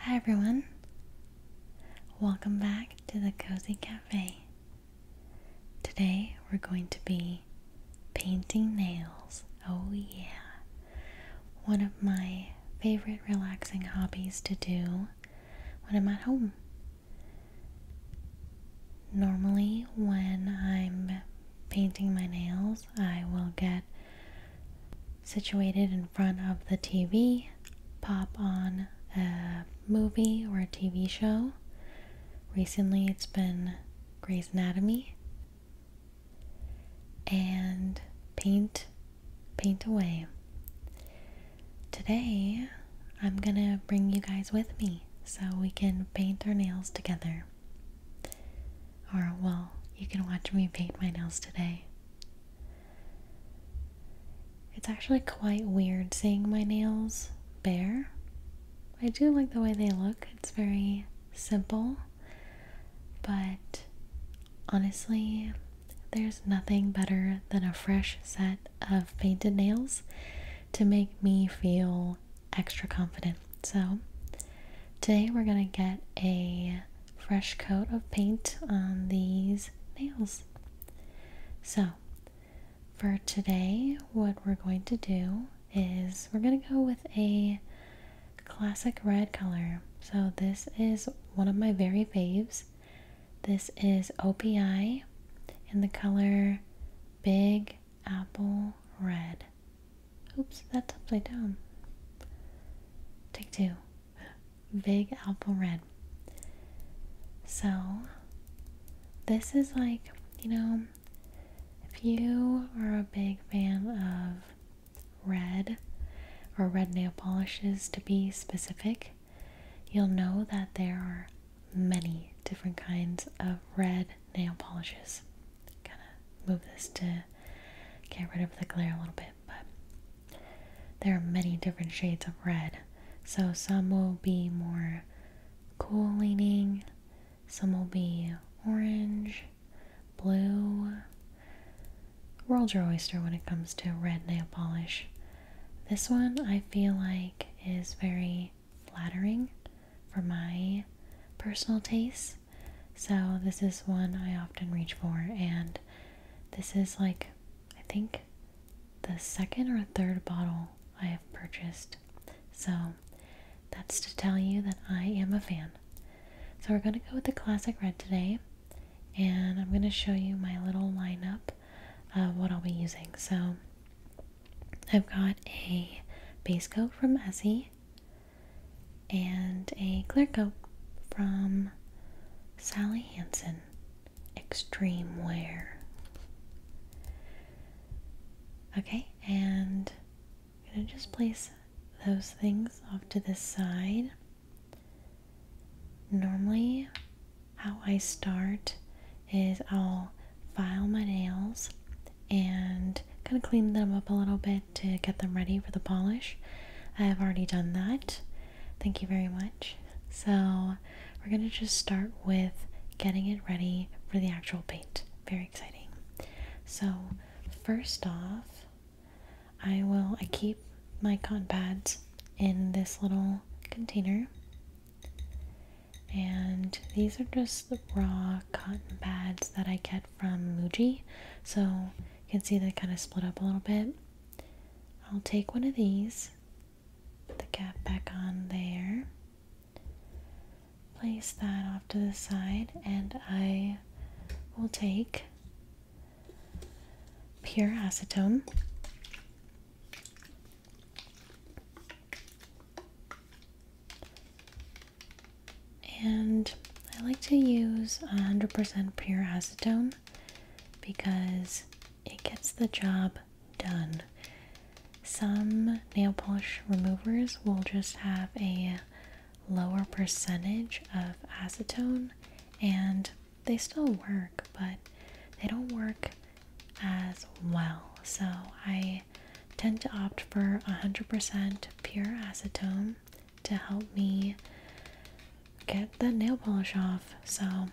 Hi everyone. Welcome back to the Cozy Cafe. Today we're going to be painting nails. Oh yeah. One of my favorite relaxing hobbies to do when I'm at home. Normally when I'm painting my nails, I will get situated and in front of the TV, pop on a movie or a TV show. Recently, it's been Grey's Anatomy and paint paint away. Today, I'm going to bring you guys with me so we can paint our nails together. Or well, you can watch me paint my nails today. It's actually quite weird seeing my nails bare. I do like the way they look, it's very simple, but honestly, there's nothing better than a fresh set of painted nails to make me feel extra confident. So, today we're gonna get a fresh coat of paint on these nails. So, for today, what we're going to do is we're going to go with a classic red color. So, this is one of my very faves. This is OPI in the color Big Apple Red. Oops, that's upside down. Take two big apple red. So, this is like, you know, if you are a big fan of red or red nail polishes to be specific, you'll know that there are many different kinds of red nail polishes. Kind of move this to get rid of the glare a little bit, but there are many different shades of red, so some will be more cool leaning, some will be orange, blue. World your oyster when it comes to red nail polish. This one I feel like is very flattering for my personal taste. So, this is one I often reach for, and this is like, I think, the second or third bottle I have purchased. So that's to tell you that I am a fan. So we're going to go with the classic red today. And I'm going to show you my little lineup of what I'll be using. So I've got a base coat from Essie and a clear coat from Sally Hansen Extreme Wear. Okay, and I'm going to just place those things off to the side. Normally, how I start is I'll file my nails and kind of clean them up a little bit to get them ready for the polish. I have already done that. Thank you very much. So, we're going to just start with getting it ready for the actual paint. Very exciting. So, first off, I will I keep my cotton pads in this little container. And these are just the raw cotton pads that I get from Muji. So, you can see they kind of split up a little bit. I'll take one of these, put the cap back on there, place that off to the side, and I will take pure acetone. And I like to use 100% pure acetone because it gets the job done. Some nail polish removers will just have a lower percentage of acetone and they still work, but they don't work as well. So I tend to opt for 100% pure acetone to help me get the nail polish off. So,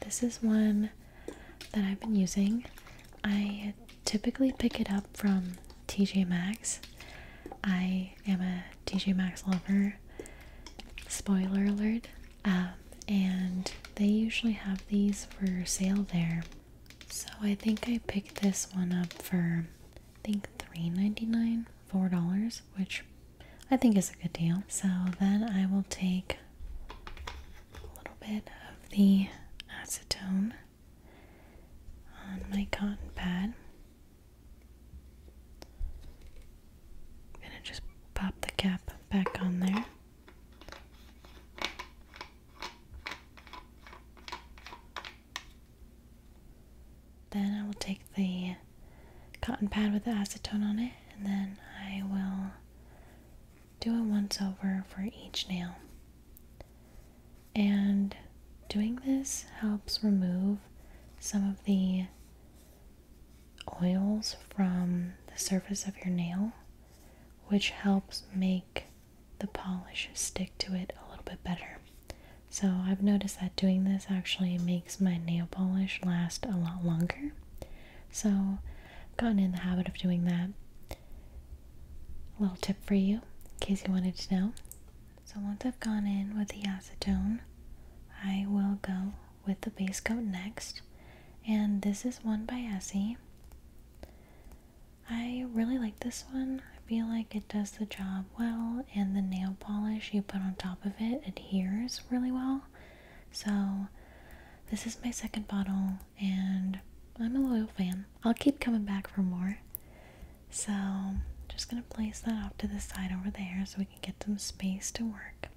this is one that I've been using. I typically pick it up from TJ Maxx. I am a TJ Maxx lover. Spoiler alert. Um, and they usually have these for sale there. So I think I picked this one up for think $3.99, $4, which I think is a good deal. So then I will take a little bit of the acetone on my cotton pad. i just pop the cap back on there. Then I will take the cotton pad with the acetone on it and then I will do a once over for each nail. And doing this helps remove some of the oils from the surface of your nail, which helps make the polish stick to it a little bit better. So I've noticed that doing this actually makes my nail polish last a lot longer. So I've gotten in the habit of doing that. A little tip for you, in case you wanted to know. So once I've gone in with the acetone, I will go with the base coat next. And this is one by Essie. I really like this one. I feel like it does the job well and the nail polish you put on top of it adheres really well. So, this is my second bottle, and I'm a loyal fan. I'll keep coming back for more. So, just gonna place that off to the side over there so we can get some space to work.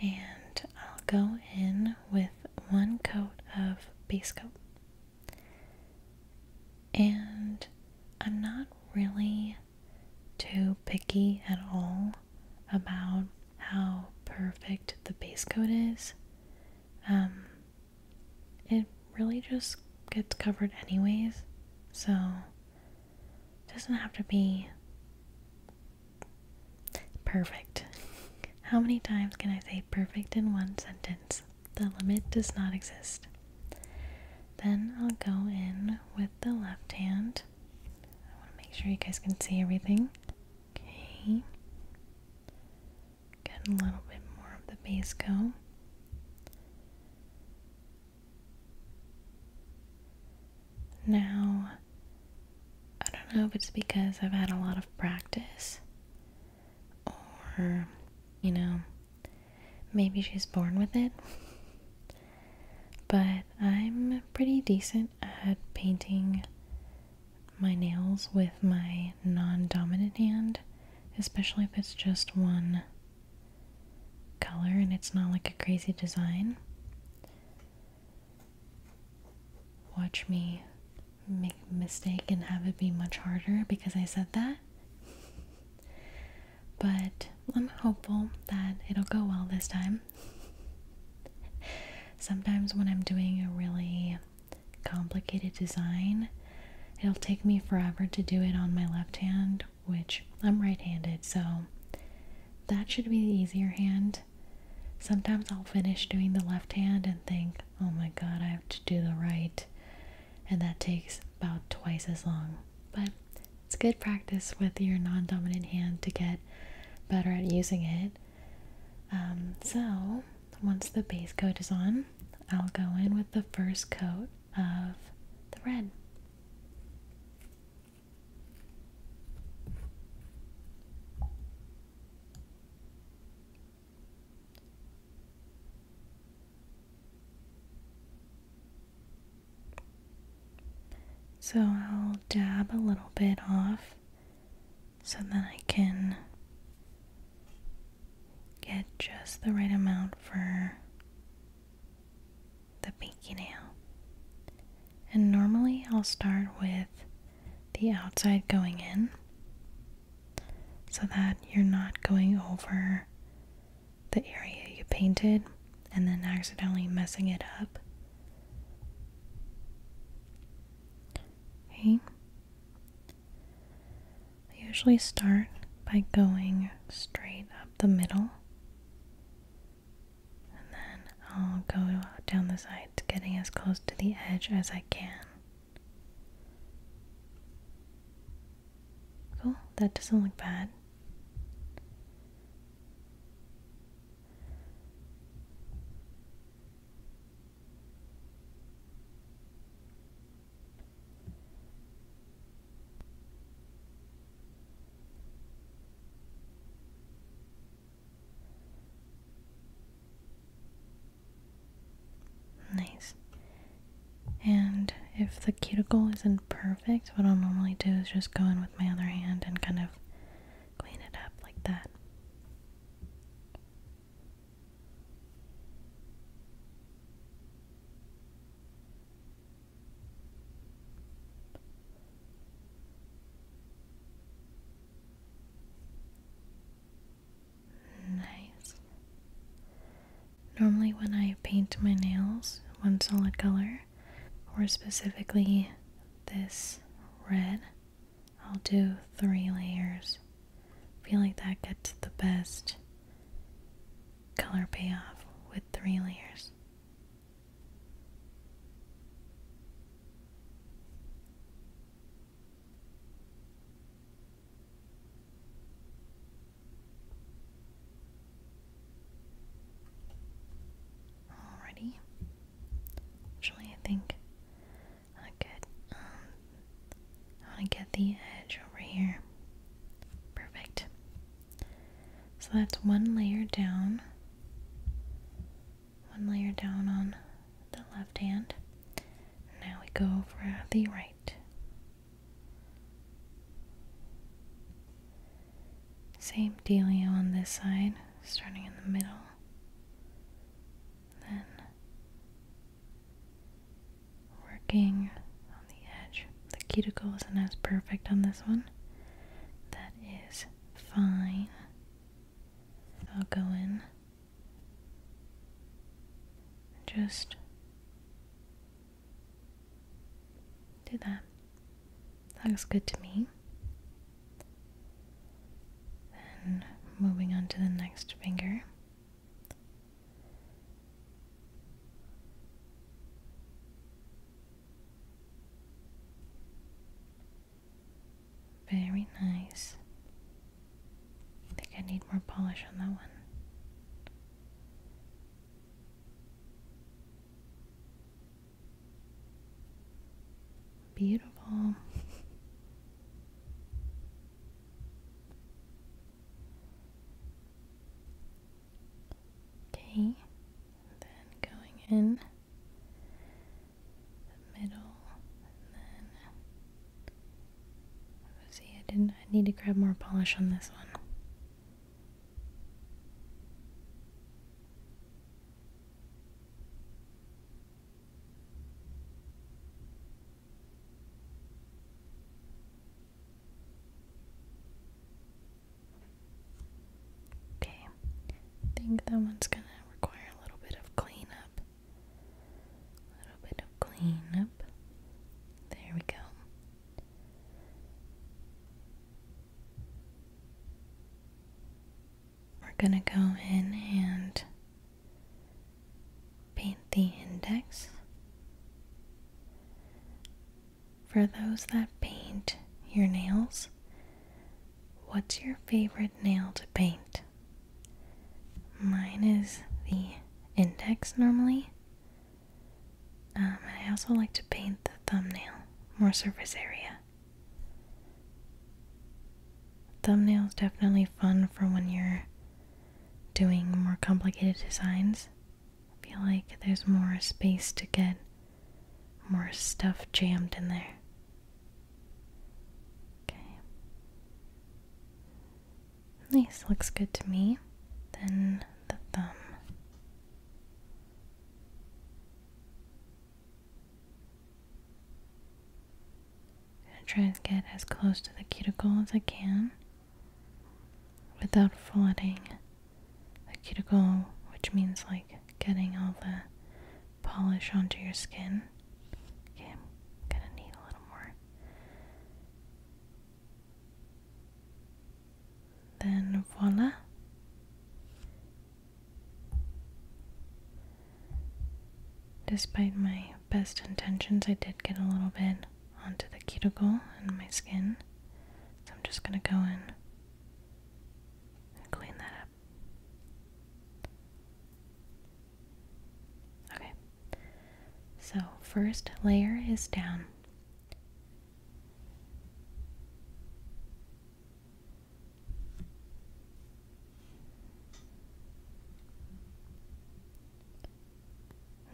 And I'll go in with one coat of base coat. And I'm not really too picky at all about how perfect the base coat is. Um, it really just gets covered anyways, so it doesn't have to be perfect. How many times can I say perfect in one sentence? The limit does not exist. Then I'll go in with the left hand. I want to make sure you guys can see everything. Okay. Get a little bit more of the base go. Now, I don't know if it's because I've had a lot of practice or, you know, Maybe she's born with it. but I'm pretty decent at painting my nails with my non dominant hand, especially if it's just one color and it's not like a crazy design. Watch me make a mistake and have it be much harder because I said that but I'm hopeful that it'll go well this time. Sometimes, when I'm doing a really complicated design, it'll take me forever to do it on my left hand, which I'm right handed, so that should be the easier hand. Sometimes I'll finish doing the left hand and think, oh my god, I have to do the right and that takes about twice as long. But it's good practice with your non dominant hand to get better at using it. Um, so, once the base coat is on, I'll go in with the first coat of the red. So I'll dab a little bit off so that I can get just the right amount for the pinky nail. And normally I'll start with the outside going in so that you're not going over the area you painted and then accidentally messing it up. I usually start by going straight up the middle. And then I'll go down the sides, getting as close to the edge as I can. Cool, that doesn't look bad. Nice. And if the cuticle isn't perfect, what I'll normally do is just go in with my other hand and kind of clean it up like that. Nice. Normally, when I paint my nails one solid color, or specifically this red, I'll do three layers. I feel like that gets the best color payoff with three layers. Alrighty. Actually, I think I um, I want to get the edge over here. Perfect. So that's one layer down. One layer down on the left hand. Now we go for the right. Same dealio on this side, starting in the middle. Then working on the edge. The cuticle isn't as perfect on this one. That is fine. I'll go in. Just do that. That looks good to me. Then moving on to the next finger. Very nice. I think I need more polish on that one. Beautiful. okay, then going in the middle, then See, I didn't. I need to grab more polish on this one. Okay, I think that one's gonna require a little bit of cleanup. A little bit of cleanup. There we go. We're going to go in and paint the index. For those that paint your nails, what's your favorite nail to paint? Mine is the index normally, um, and I also like to paint the thumbnail, more surface area. Thumbnail is definitely fun for when you're doing more complicated designs. I feel like there's more space to get more stuff jammed in there. Okay. Nice, looks good to me. Then the thumb. I'm gonna try and get as close to the cuticle as I can without flooding the cuticle, which means like getting all the polish onto your skin. Okay, gonna need a little more. Then voila. Despite my best intentions, I did get a little bit onto the cuticle and my skin. So I'm just going to go in and clean that up. Okay. So, first layer is down.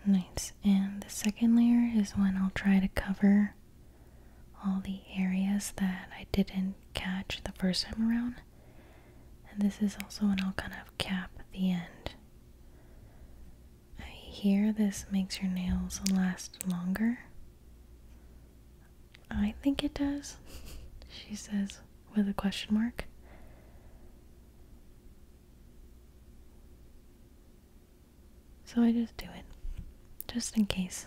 Nice. And the second layer is when I'll try to cover all the areas that I didn't catch the first time around. And this is also when I'll kind of cap the end. I hear this makes your nails last longer. I think it does, she says with a question mark. So I just do it, just in case.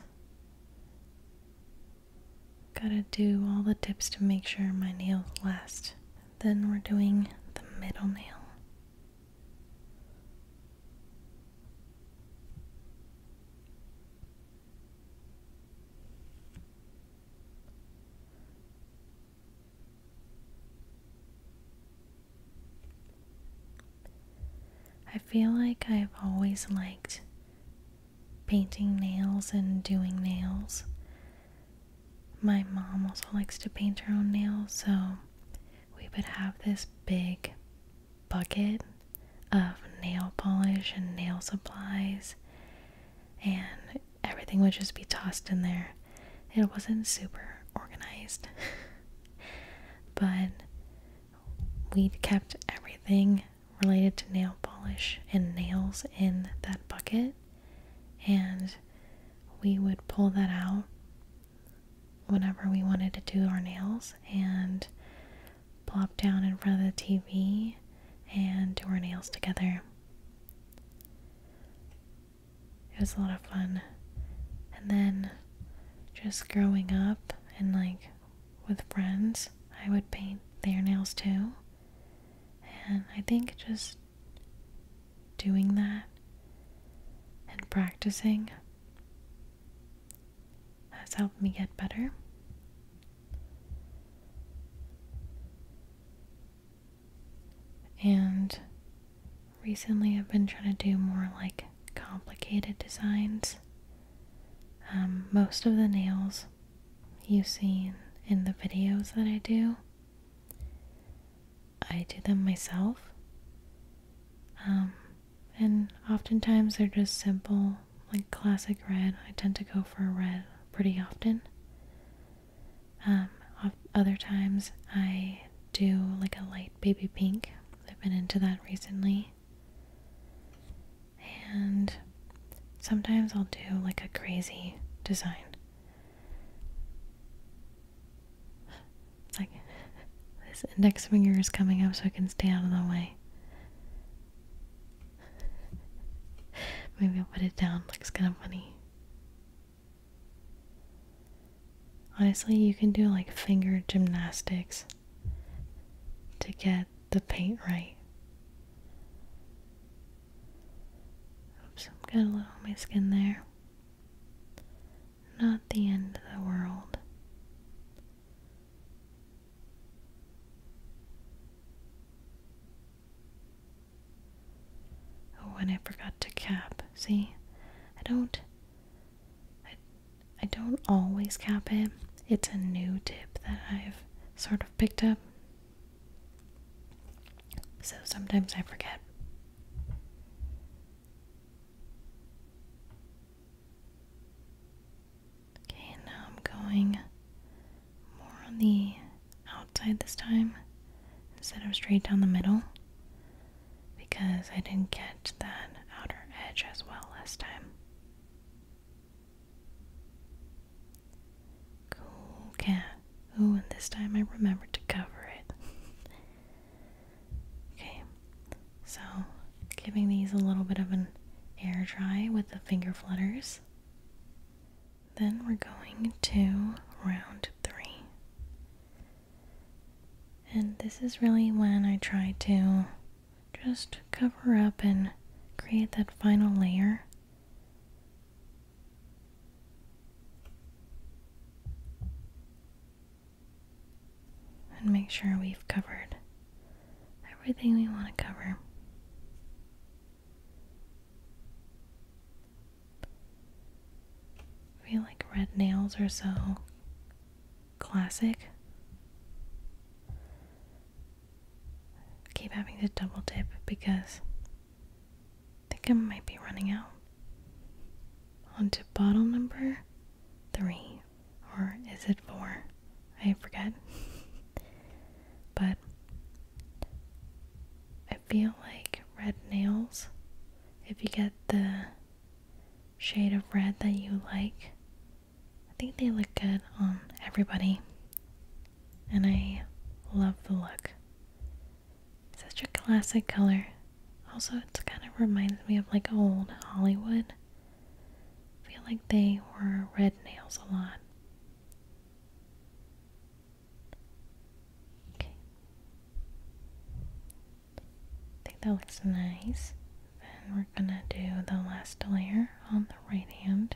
Gotta do all the tips to make sure my nails last. Then we're doing the middle nail. I feel like I've always liked painting nails and doing nails. My mom also likes to paint her own nails, so we would have this big bucket of nail polish and nail supplies, and everything would just be tossed in there. It wasn't super organized, but we kept everything related to nail polish and nails in that bucket, and we would pull that out whenever we wanted to do our nails and plop down in front of the TV and do our nails together. It was a lot of fun. And then just growing up and like with friends, I would paint their nails too. And I think just doing that and practicing has helped me get better. And recently I've been trying to do more like complicated designs. Um, most of the nails you have seen in the videos that I do I do them myself. Um, and oftentimes they're just simple, like classic red. I tend to go for red pretty often. Um, other times I do like a light baby pink. I've been into that recently. And sometimes I'll do like a crazy design. It's like this index finger is coming up so I can stay out of the way. Maybe I'll put it down. Looks kind of funny. Honestly, you can do like finger gymnastics to get the paint right. Oops, got a little on my skin there. Not the end of the world. Oh, and I forgot to cap. See? I don't I I don't always cap it. It's a new tip that I've sort of picked up. So sometimes I forget. Okay, now I'm going more on the outside this time instead of straight down the middle because I didn't get that outer edge as well last time. Cool cat. Oh, and this time I remembered to cover it. okay, so giving these a little bit of an air dry with the finger flutters. Then we're going to round three. And this is really when I try to just cover up and create that final layer and make sure we've covered everything we want to cover. I feel like red nails are so classic. keep having to double dip because I think I might be running out. On to bottle number three, or is it four? I forget. but I feel like red nails, if you get the shade of red that you like, I think they look good on everybody. And I love the look. Such a classic color. Also, it kind of reminds me of like old Hollywood. feel like they wore red nails a lot. Okay. I think that looks nice. Then we're gonna do the last layer on the right hand.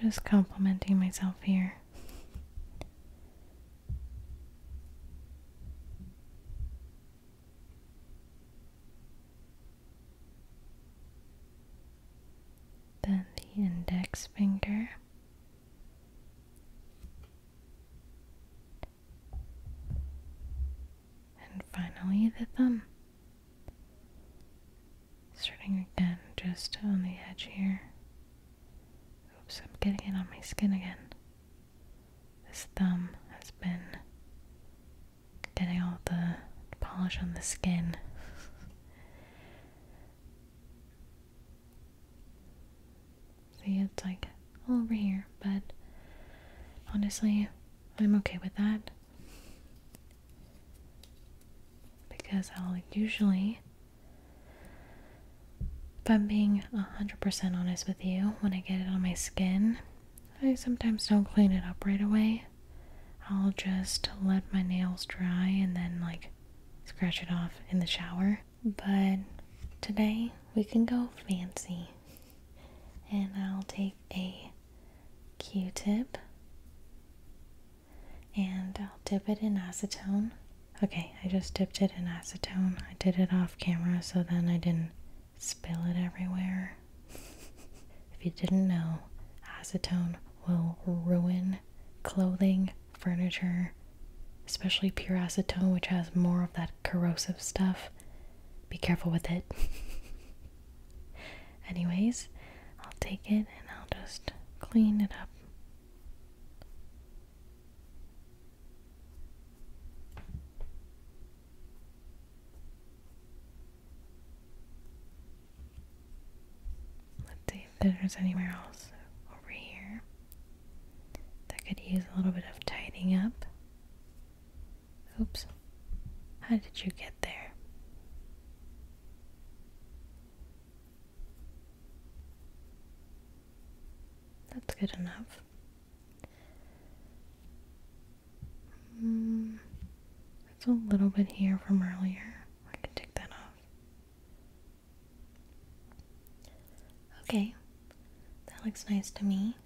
Just complimenting myself here. Then the index finger. And finally, the thumb. Starting again, just on the edge here. Oops, I'm getting it on my skin again. This thumb has been getting all the polish on the skin. See, it's like all over here, but honestly, I'm okay with that. Because I'll usually if I'm being 100% honest with you, when I get it on my skin, I sometimes don't clean it up right away. I'll just let my nails dry and then, like, scratch it off in the shower. But today we can go fancy. And I'll take a q tip and I'll dip it in acetone. Okay, I just dipped it in acetone. I did it off camera so then I didn't spill it everywhere. if you didn't know, acetone will ruin clothing, furniture, especially pure acetone, which has more of that corrosive stuff. Be careful with it. Anyways, I'll take it and I'll just clean it up Let's see if there's anywhere else over here that could use a little bit of tidying up. Oops. How did you get there? That's good enough. Mm, it's a little bit here from earlier. I can take that off. Okay, that looks nice to me.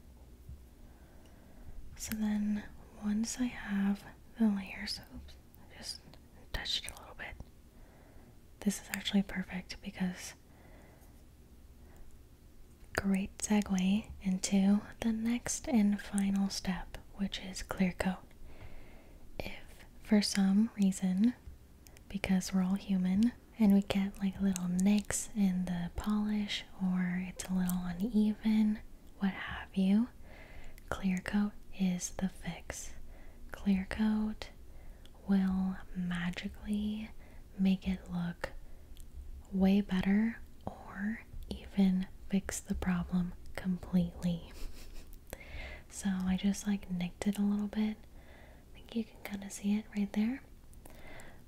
So then, once I have the layers, oops, just touched it a little bit. This is actually perfect because great segue into the next and final step, which is clear coat. If for some reason, because we're all human and we get like little nicks in the polish or it's a little uneven, what have you, Clear coat is the fix. Clear coat will magically make it look way better or even fix the problem completely. so I just like nicked it a little bit. I think you can kind of see it right there.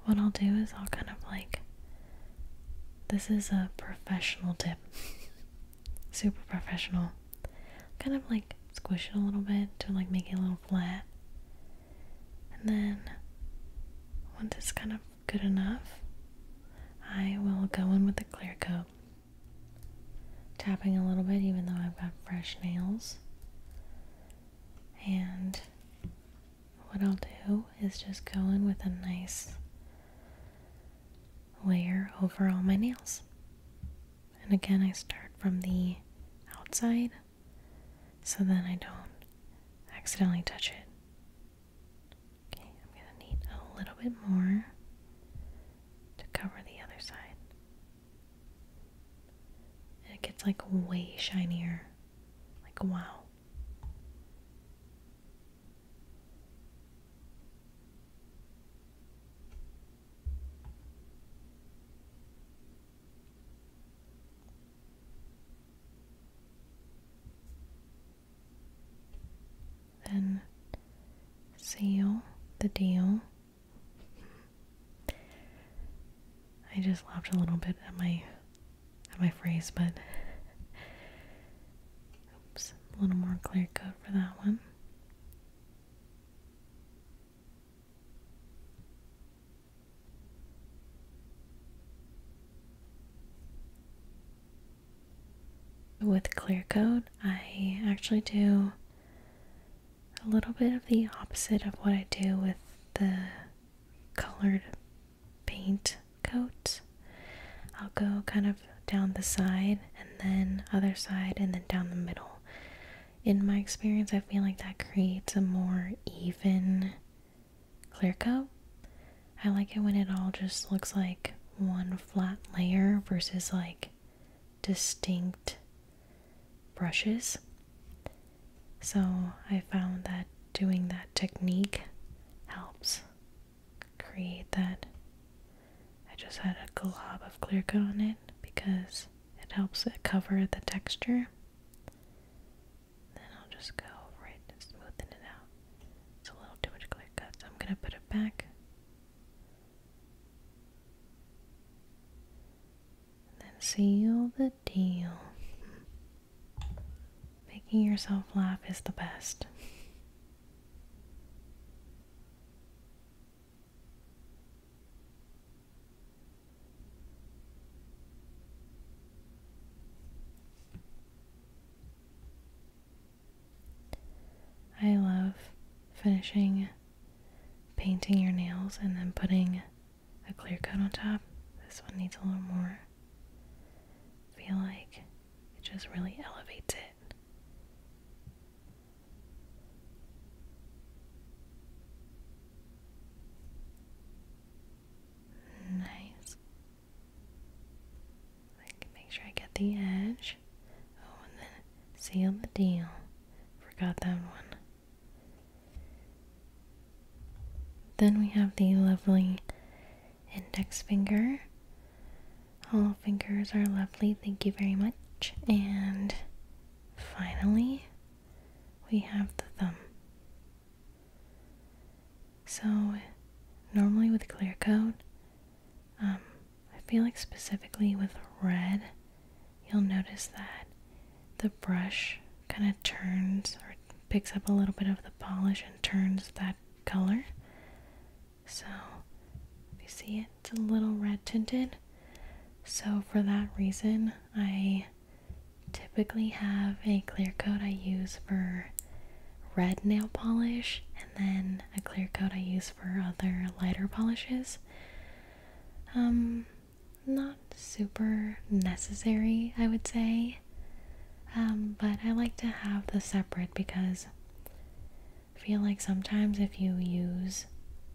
What I'll do is I'll kind of like this is a professional tip. super professional. Kind of like squish it a little bit to like make it a little flat. And then once it's kind of good enough, I will go in with the clear coat. Tapping a little bit even though I've got fresh nails. And what I'll do is just go in with a nice layer over all my nails. And again, I start from the outside so then I don't accidentally touch it. Okay, I'm going to need a little bit more to cover the other side. And it gets like way shinier. Like, wow. Then seal the deal. I just laughed a little bit at my at my phrase, but oops, a little more clear cut for that one. With clear coat, I actually do a little bit of the opposite of what I do with the colored paint coat. I'll go kind of down the side and then other side and then down the middle. In my experience, I feel like that creates a more even clear coat. I like it when it all just looks like one flat layer versus like distinct brushes. So I found that doing that technique helps create that. I just had a glob of clear cut on it because it helps it cover the texture. Then I'll just go right and smoothen it out. It's a little too much clear cut, so I'm gonna put it back. then seal the deal. Making yourself laugh is the best. I love finishing painting your nails and then putting a clear coat on top. This one needs a little more. I feel like it just really elevates it it. Nice. make sure I get the edge. Oh, and then seal the deal. Forgot that one. Then we have the lovely index finger. All fingers are lovely, thank you very much. And finally, we have the thumb. So, normally with clear coat, um, I feel like specifically with red, you'll notice that the brush kind of turns or picks up a little bit of the polish and turns that color. So you see it's a little red tinted. So for that reason, I typically have a clear coat I use for red nail polish and then a clear coat I use for other lighter polishes. Um, not super necessary, I would say. Um, but I like to have the separate because feel like sometimes if you use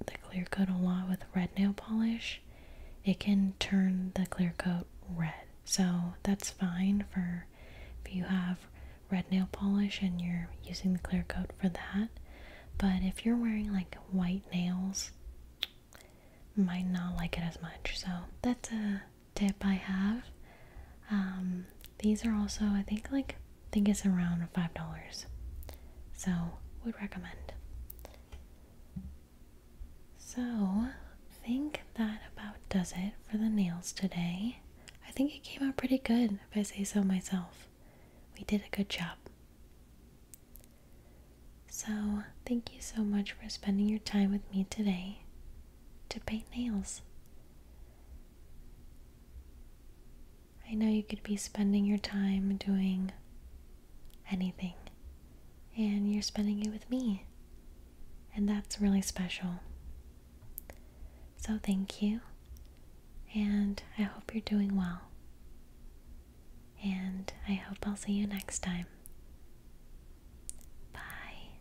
the clear coat a lot with red nail polish, it can turn the clear coat red. So that's fine for if you have red nail polish and you're using the clear coat for that. But if you're wearing like white nails, might not like it as much. So that's a tip I have. Um, these are also, I think, like think it's around five dollars. So would recommend. So think that about does it for the nails today. I think it came out pretty good, if I say so myself. We did a good job. So, thank you so much for spending your time with me today to paint nails. I know you could be spending your time doing anything, and you're spending it with me, and that's really special. So, thank you, and I hope you're doing well, and I hope I'll see you next time. Bye.